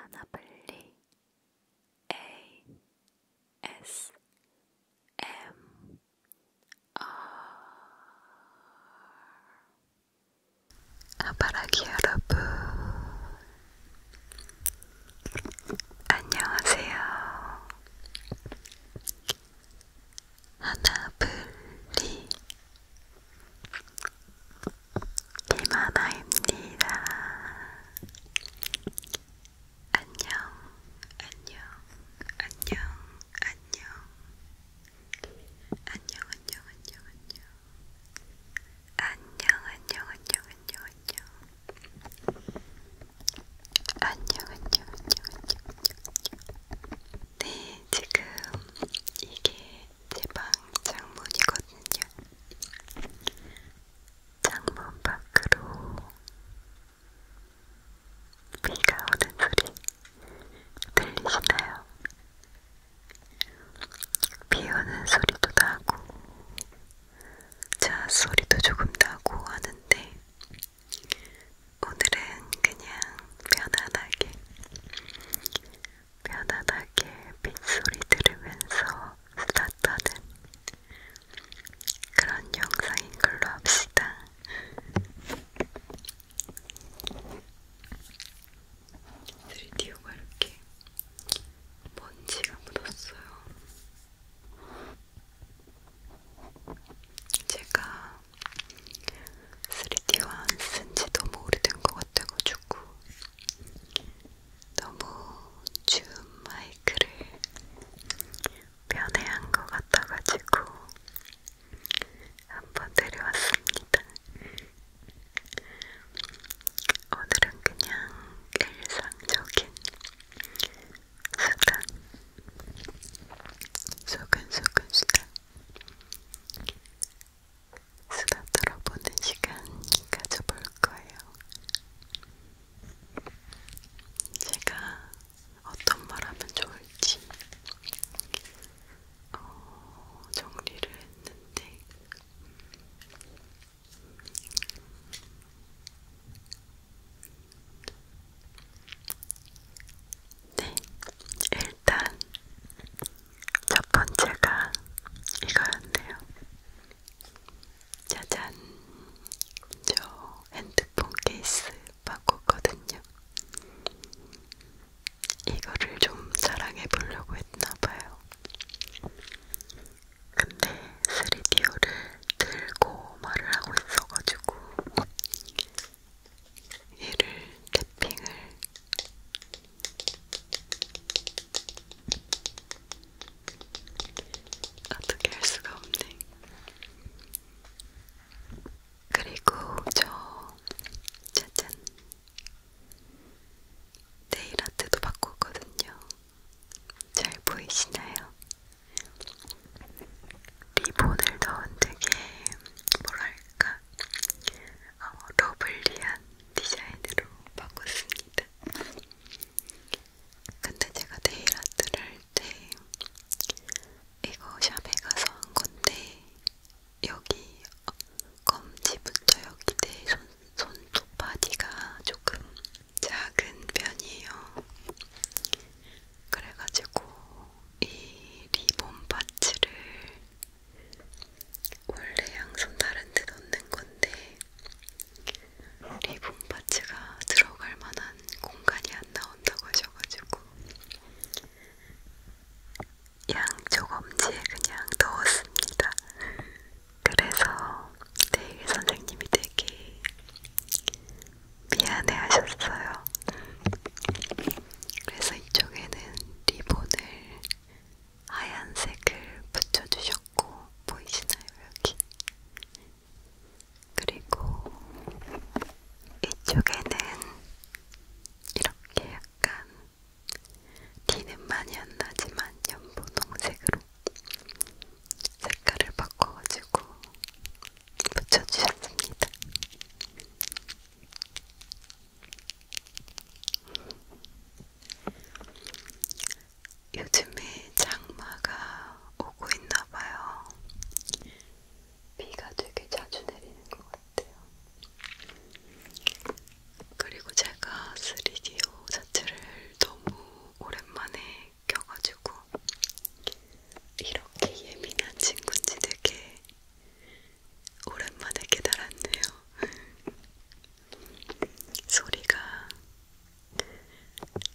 하나블리 A S M R 아바라기 여러분 안녕하세요 하나블리 김하나입니다. 안녕, 안녕, 안녕, 안녕, 안녕, 안녕, 안녕, 안녕. 안녕 안녕 안녕 안녕 안녕 안녕 안녕 안녕 안녕 안녕 네 지금 이게 제방 창문이거든요. 창문 밖으로 비가 오는 소리 들리시나요? 비 오는 소리도 나고 자 소리도 조금 나고 하는데 오늘은 그냥 편안하게 편안하게 빗소리 들으면서 수다 떠는 그런 영상인 걸로 합시다. 드디오가 이렇게 먼지가 묻었어요. 제가 3D와 안 쓴지 너무 오래된 것 같아가지고 너무 줌 마이크를 변해한 것 같아가지고 한번 데려왔습니다. 오늘은 그냥 일상적인 수단, 소근소근 수단, 수다 떨어보는 시간 가져볼 거예요. 제가 어떤 말 하면 좋을지 어, 정리를 했는데 네, 일단 첫 번째가 이거였네요. 짜잔, 저 핸드폰 케이스 바꿨거든요. 이거를 좀 자랑해 보려고 했나봐요. 근데 3DO를 들고 말을 하고 있어가지고 얘를 탭핑을 어떻게 할 수가 없네. 그리고 저 짜잔 네일 아트도 바꿨거든요. 잘 보이시나요? 리본을 넣은 되게 뭐랄까 어, 러블리한 디자인으로 바꿨습니다. 근데 제가 네일 아트를 할 때 이거 샵에 가서 한 건데 여기 어, 검지부터 여기 내 손, 손톱 바디가 조금 작은 편이에요. 그래가지고 이 리본 파츠를 원래 양손 다른 데 넣는 건데 리본 파츠가 들어갈 만한 공간이 안 나온다고 하셔가지고 양쪽 엄지에 그냥 넣었습니다. 그래서 네일 선생님이 되게 미안해 하셨어요. 그래서 이쪽에는 리본을 하얀색을 붙여주셨고, 보이시나요? 여기. 그리고 이쪽에는 이렇게 약간 티는 많이 안 나지만 연보동색으로 색깔을 바꿔가지고 붙여주셨습니다. 요즘에 장마가 오고 있나봐요. 비가 되게 자주 내리는 것 같아요. 그리고 제가 3DO 자체를 너무 오랜만에 껴가지고 이렇게 예민한 친구인지 되게 오랜만에 깨달았네요. 소리가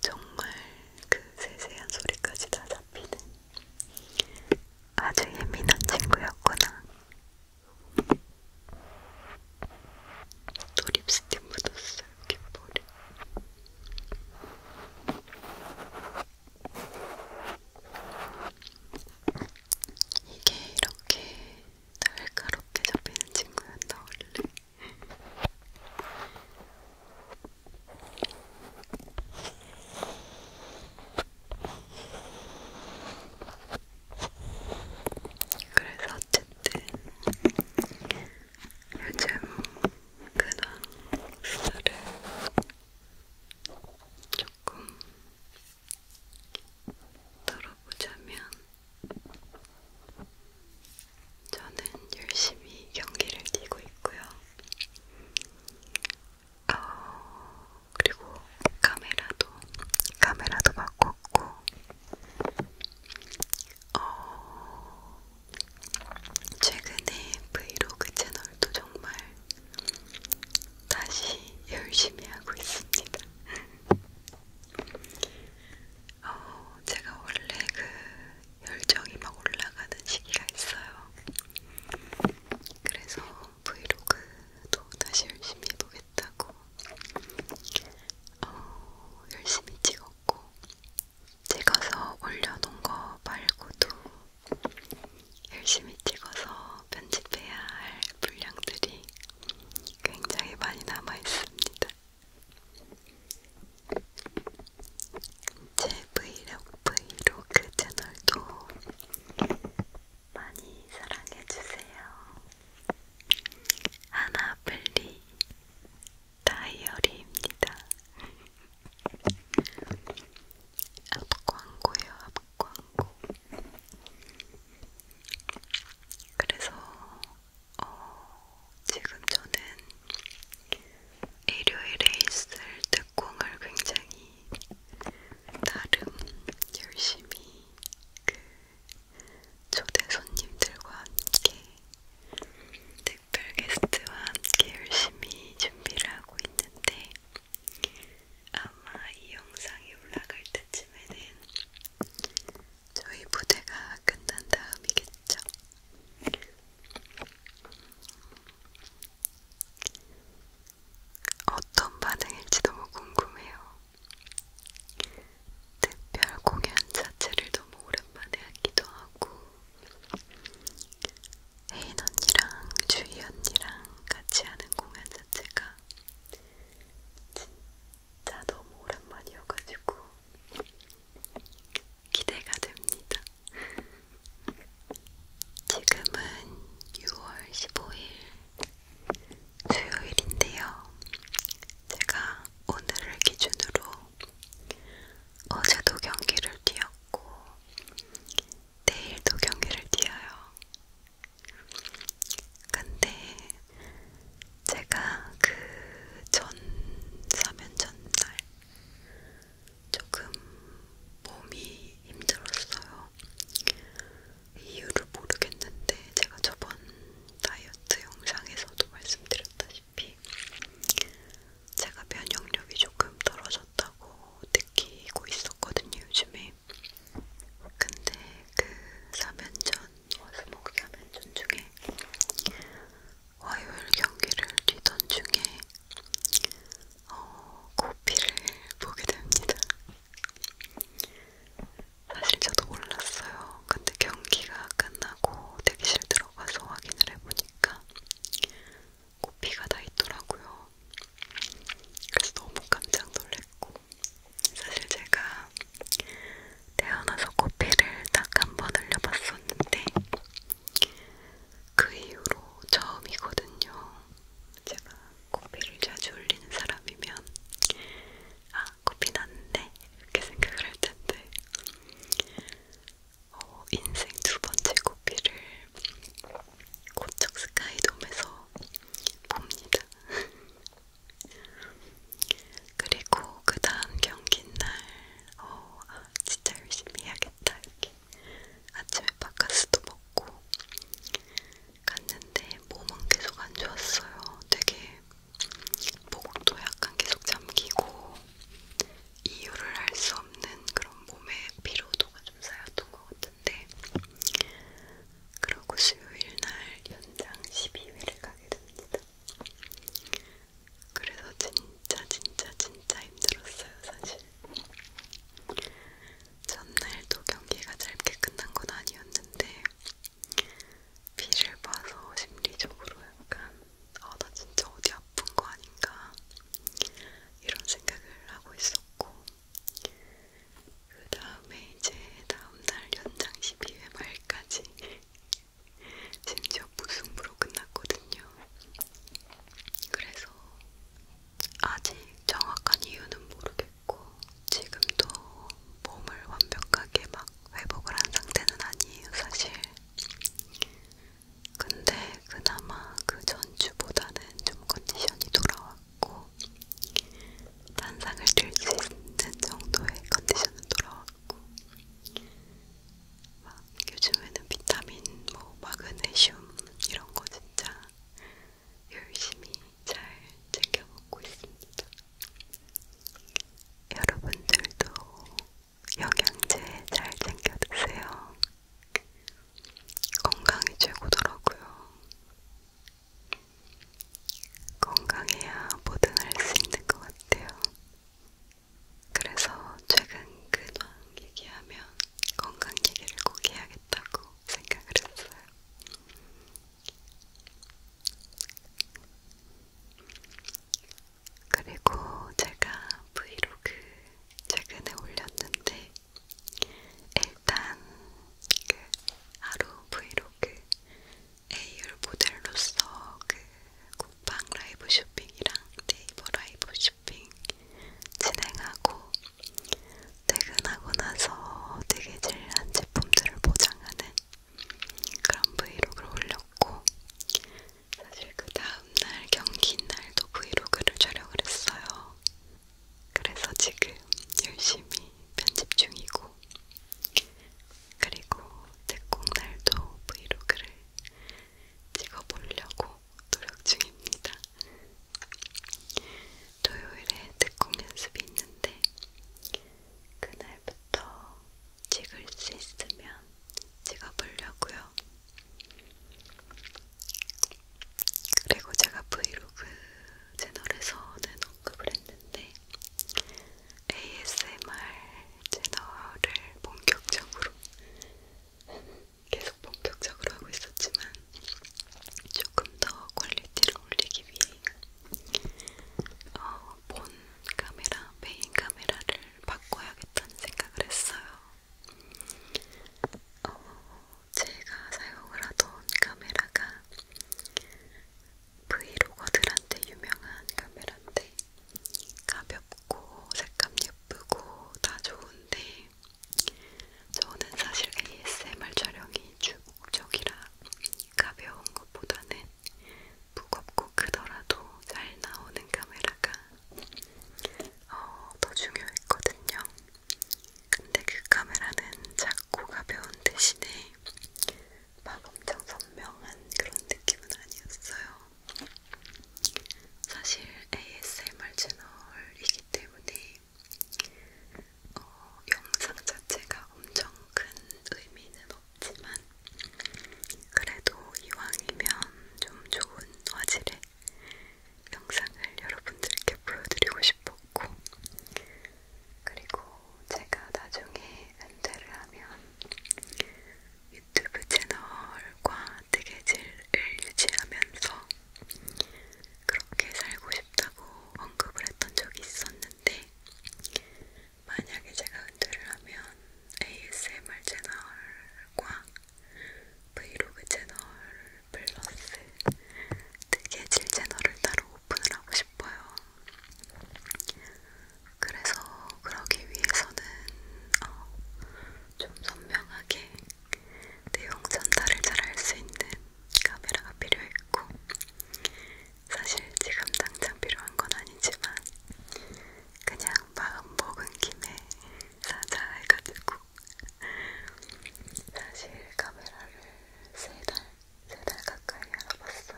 정말 그 세세한 소리까지 다 잡히는 아주 예민한 친구였구나. 또 립스틱 묻었어요, 귓볼에. 이게 이렇게 날카롭게 잡히는 친구였나 원래. 그래서 어쨌든 요즘 그냥 수다를 조금 들어보자면 저는 열심히 경기를 뛰고 있고요. 어, 그리고 카메라도 카메라도 바꿨고 어, 최근에 브이로그 채널도 정말 다시 열심히 하고 있습니다. 어, 제가 원래 그 열정이 막 올라가는 시기가 있어요. 그래서 브이로그도 다시 열심히 해보겠다고 어, 열심히 찍었고 찍어서 올려놓은 거 말고도 열심히 찍어서 편집해야 할 분량들이 굉장히 많이 남아 있습니다. 제 브이로그, 브이로그 채널도 많이 사랑해주세요. 하나블리 다이어리입니다. 앞광고요, 광고. 그래서 어, 지금 저는 일요일에 있을 특공을 굉장히 나름 열심히 그 초대 손님들과 함께 특별 게스트와 함께 열심히 준비를 하고 있는데 아마 이 영상이 올라갈 때쯤에는 저희 무대가 끝난 다음이겠죠. 어떤 반응일지 너무 궁금해요. 특별 공연 자체를 너무 오랜만에 하기도 하고 혜인 언니랑 주희 언니랑 같이 하는 공연 자체가 진짜 너무 오랜만이어가지고 기대가 됩니다. 지금은 6월 15일 수요일인데요. 제가 오늘을 기준으로 어제도 경기를 뛰었고 내일도 경기를 뛰어요. 근데 제가 그 전 사면 전날 조금 몸이 힘들었어요. 이유를 모르겠는데 제가 저번 다이어트 영상에서도 말씀드렸다시피 제가 면역력이 조금 떨어졌다고 느끼고 있었어요. 있었거든요, 요즘에. 근데 그 사면전, 어스모그 사면전 중에 화요일 경기를 뛰던 중에 어, 고피를 보게 됩니다. 사실 저도 몰랐어요. 근데 경기가 끝나고 대기실 들어가서 확인을 해보니까 코피가 다 있더라고요. 그래서 너무 깜짝 놀랐고 사실 제가 태어나서 코피를 딱 한번 흘려봤었는데 그 이후로 처음이거든요. 제가 코피를 자주 흘리는 사람이면 아 코피 났는데 이렇게 생각을 할 텐데 어, 인생 두 번째 코피를 고척 스카이돔에서 봅니다. 그리고 그 다음 경기 날, 어, 아, 진짜 열심히 해야겠다. 이렇게 아침에 바카스도 먹고 갔는데 몸은 계속 안 좋았어요. 되게 목도 약간 계속 잠기고 이유를 알 수 없는 그런 몸의 피로도가 좀 쌓였던 했던 것 같은데 그러고 수요일 날 연장 12회를 가게 됩니다. 그래서 진짜 진짜 진짜 힘들었어요 사실. 전날도 경기가 짧게 끝난 건 아니었는데 비를 봐서 심리적으로 약간 아나 진짜 어디 나쁜 거 아닌가 이런 생각을 하고 있었고 그 다음에 이제 다음날 연장 12회 말까지 심지어 무승부로 끝났거든요. 그래서 아직 정확한 이유는 모르겠고 지금도 몸을 완벽하게 막 회복을 한 상태는 아니에요, 사실. 근데 그나마 그 전주보다는 좀 컨디션이 돌아왔고 단상을 들 수 있는 정도의 컨디션은 돌아왔고 막 요즘에는 비타민, 뭐 마그네슘 이런 거 진짜 열심히 잘 챙겨 먹고 있습니다. 여러분들도 영양제 잘 챙겨 드세요. 건강이 최고더라고요. 건강해야 뭐든 할수 있는 것 같아요. 그래서 최근 근황 얘기하면 건강 얘기를 꼭 해야겠다고 생각을 했어요. 그리고 제가 브이로그 최근에 올렸는데 일단 그 하루 브이로그 AR 모델로서 그 쿠팡 라이브 쇼핑이랑 네이버 라이브 쇼핑 진행하고 퇴근하고 나서 되게 질한 제품들을 보장하는 그런 브이로그를 올렸고 사실 그 다음 다음날 경기 날도 브이로그를 촬영을 했어요. 그래서 지금 열심히 편집 중이고, 그리고 특공 날도 브이로그를 찍어보려고 노력 중입니다. 토요일에 특공 연습이 있는데, 그날부터 찍을 수 있으면 찍어보려고요. 그리고 제가 브이로그 채널에서는 언급을 했는데 ASMR 채널을 본격적으로 계속 본격적으로 하고 있었지만 조금 더 퀄리티를 올리기 위해 어, 본 카메라, 메인 카메라를 바꿔야겠다는 생각을 했어요. 어, 제가 사용을 하던 카메라가 브이로거들한테 유명한 카메라인데 가볍고 색감 예쁘고 다 좋은데 저는 사실 ASMR 촬영이 주 목적이라 가벼운 것보다는 무겁고 크더라도 잘 나오는 카메라가 어, 더 중요했거든요. 근데 그 카메라는 작고 가벼운 대신에 막 엄청 선명한 그런 느낌은 아니었어요. 사실 ASMR 채널이기 때문에 어, 영상 자체가 엄청 큰 의미는 없지만 그래도 이왕이면 좀 좋은 화질의 영상을 여러분들께 보여드리고 싶었고, 그리고 제가 나중에 은퇴를 하면 유튜브 채널과 뜨개질을 유지하면서 그렇게 살고 싶다고 언급을 했던 적이 있었는데, 만약에 제가 은퇴를 하면 ASMR 채널과 브이로그 채널 플러스 뜨개질 채널을 따로 오픈을 하고 싶어요. 그래서 그러기 위해서는 어, 좀 선명하게 내용 전달을 잘 할 수 있는 카메라가 필요했고 사실 지금 당장 필요한 건 아니지만 그냥 마음 먹은 김에 사자 해가지고 사실 카메라를 세달세달 가까이 알아봤어요.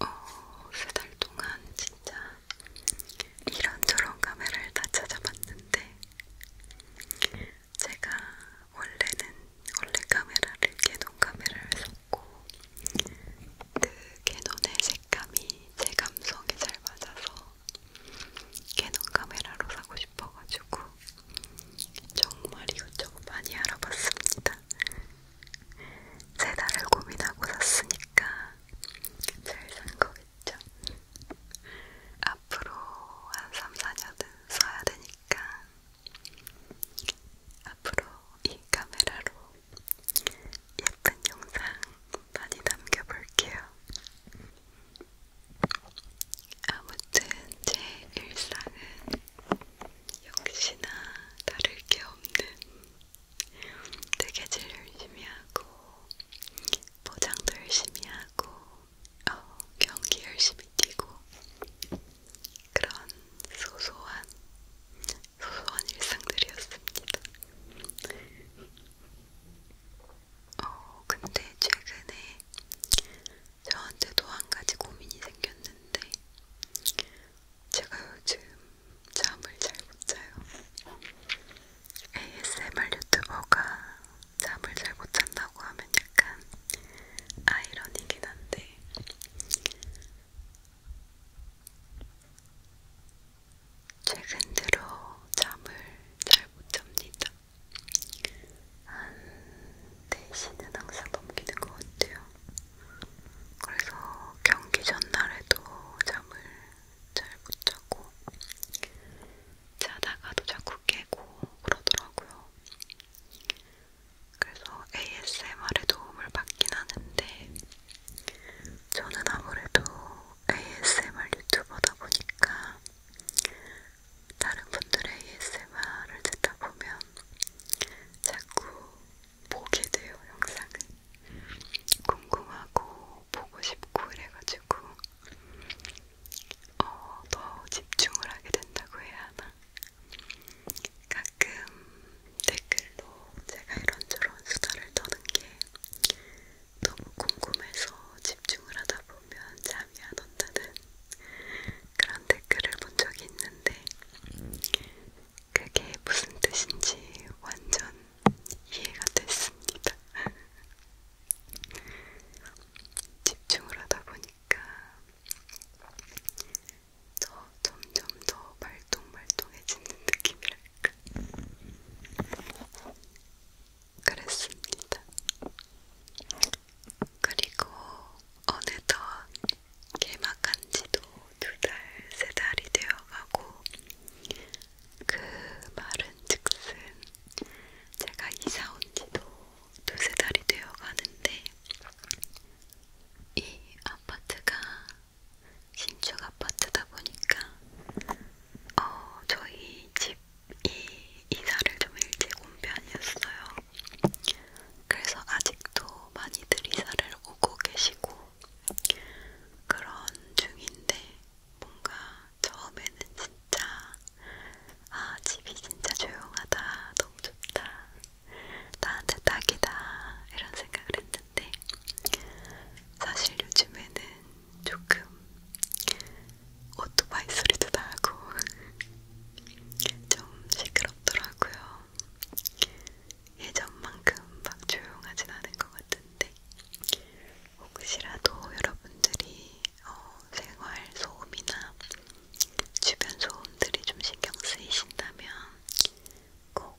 어, 세달 동안 진짜 이런저런 카메라를 다 찾아봤는데 제가 원래는 원래 카메라를 개동 카메라를 샀고 그 캐논의 색감이 제 감성에 잘 맞아서 캐논 카메라로 사고 싶어가지고 정말 이것저것 많이 알아봤습니다. 세 달을 고민하고 샀으니까 잘산 거겠죠. 앞으로 한 3, 4년은 써야 되니까 앞으로 이 카메라로 예쁜 영상 많이 남겨볼게요. 아무튼 제 일상은 역시나 다를 게 없는 뜨개질 열심히 하고 포장도 열심히 하고 어, 경기 열심히 뛰고 그런 소소한 소소한 일상들이었습니다. 어, 근데 최근에 저한테도 한 가지 고민이 생겼는데, 제가 요즘 잠을 잘 못 자요. ASMR 유튜버가 잠을 잘 못 잔다고 하면 약간 아이러니긴 한데, 최근 들어 잠을 잘 못 잡니다. 한 4시는 항상 넘기는 것 같아요. 그래서 경기 전날에도 잠을 잘 못 자고 자다가도 자꾸 깨고 그러더라고요. 그래서 ASMR에 도움을 받긴 하는데 저는 아무래도 ASMR 유튜버다 보니까 다른 분들의 ASMR을 듣다 보면 자꾸 보게 돼요, 영상을. 궁금하고 보고 싶고 이래가지고 어, 더 집중을 하게 된다고 해야 하나? 가끔 댓글로 제가 이런저런 수다를 떠는 게 너무 궁금해서 집중을 하다 보면 잠이 안 온다는 그런 댓글을 본 적이 있는데 그게 무슨 뜻인지 완전 이해가 됐습니다. 집중을 하다 보니까 저 점점 더 말똥말똥해지는 느낌이랄까. 그랬습니다. 그리고 어느덧 개막한 지도 두 달, 세 달이 되어가고 그 말은 즉슨 제가 이사 온 지도 두 세 달이 되어가는데 이 아파트가 신축 아파트다 보니까 어, 저희 집이 이사를 좀 일찍 온 편이었어요. 그래서 아직도 많이들 이사를 오고 계시고 그런 중인데 뭔가 처음에는 진짜 아 집이 진짜 조용하다 너무 좋다 나한테 딱이다 이런 생각을 했는데 있는데 사실 요즘에는 조금 오토바이 소리도 나고 좀 시끄럽더라고요. 예전만큼 막 조용하진 않은 것 같은데 혹시라도 여러분들이 어, 생활 소음이나 주변 소음들이 좀 신경 쓰이신다면 꼭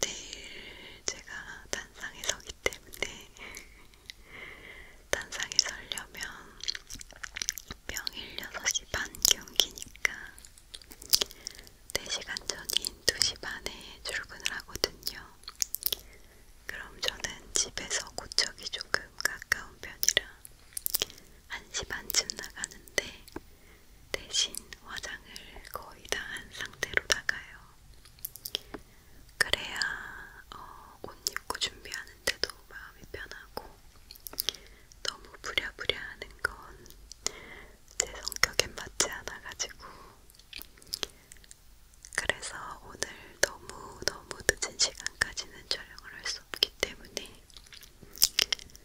내일 제가 단상에 서기 때문에 단상에 서려면 명일 6시 반 경기니까 4시간 전인 2시 반에 출근을 하거든요. 그럼 저는 집에서 고척이 조금 가까운 편이라 1시 반쯤 나가는데 대신 화장을 거의 다 한 상태로 나가요. 그래야 어, 옷 입고 준비하는데도 마음이 편하고 너무 부랴부랴 하는 건 제 성격에 맞지 않아가지고 그래서 오늘 너무너무 늦은 시간까지는 촬영을 할 수 없기 때문에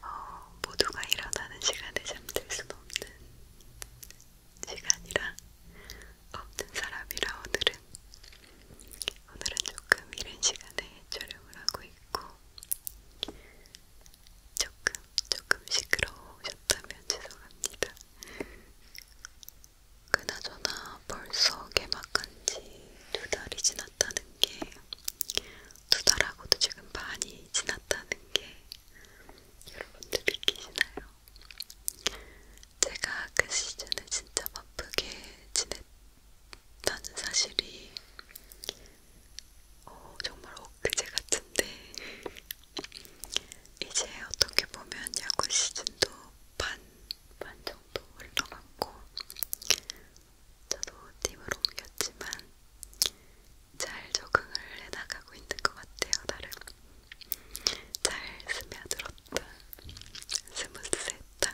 어, 모두가 일어나는 시간에 잠들 수 없는 시간이라 없는 사람이라 오늘은 오늘은 조금 이른 시간에 촬영을 하고 있고 조금 조금 시끄러우셨다면 죄송합니다. 그나저나 벌써 개막한지 두 달이 지났다는 게 두 달하고도 지금 반이 지났다는 게 여러분들 믿기시나요? 제가 그 시즌에 진짜 바쁘게 지냈다는 사실이 어, 정말 엊그제 같은데 이제 어떻게 보면 야구 시즌도 반, 반 정도 흘러갔고 저도 팀을 옮겼지만 잘 적응을 해나가고 있는 것 같아요. 나름 잘 스며들었다. 스무스했다.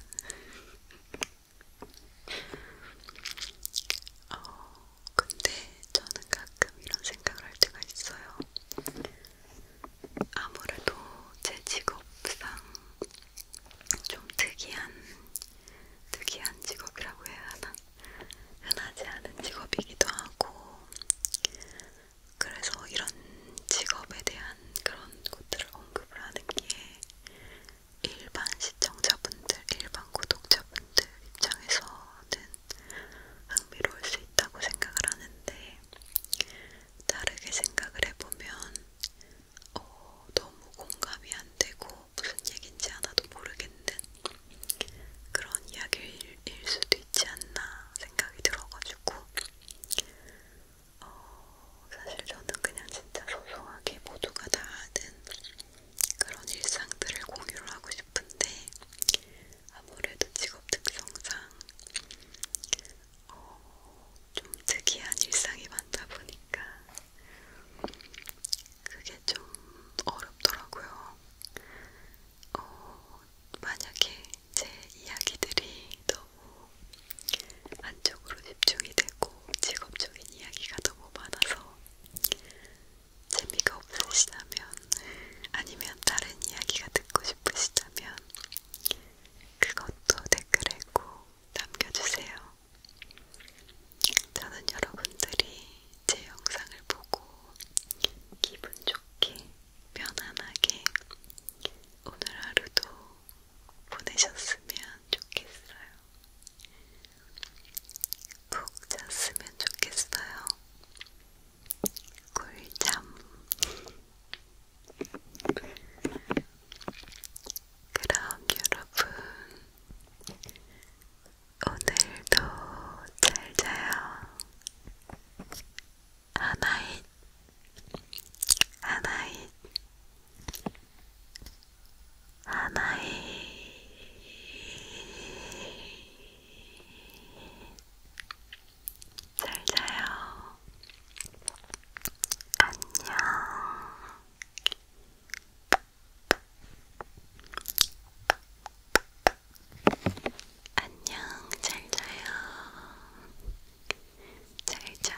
어, 근데 저는 가끔 이런 생각을 할 때가 있어요. 아무래도 제 직업상 좀 특이한, 특이한 직업이라고 해야 하나? 흔하지 않은 직업이기도 하고 그래서 이런 직업에 대한 그런 것들을 언급을 하는 게 일반 시청자분들, 일반 구독자분들 입장에서는 흥미로울 수 있다고 생각을 하는데 다르게 생각을 해보면 어, 너무 공감이 안안 되고 무슨 얘긴지 하나도 모르겠는 그런 이야기일 수도 있지 않나 생각이 들어가지고 어, 사실 저는 그냥 진짜 소소하게 모두가 다 아는 그런 일상들을 공유를 하고 싶은데 아무래도 직업 특성상 어, 좀 특이한 일상이 많다 보니까 그게 좀 어렵더라고요. 어, 만약에 제 이야기들이 너무 한쪽으로 집중이 되고 직업적인 이야기가 너무 많아서 재미가 없으시다면 아니면 다른 이야기가 듣고 싶으시다면 그것도 댓글에 꼭 남겨주세요. 저는 여러분들이 제 영상을 보고 기분 좋게, 편안하게 오늘 하루도 보내셨으면 좋겠어요. 푹 잤으면 좋겠어요. 꿀잠. 그럼 여러분, 오늘도 잘 자요. 하나잇, 하나잇, 하나잇. 잘 자요. 안녕. 안녕, 잘 자요. 잘 자.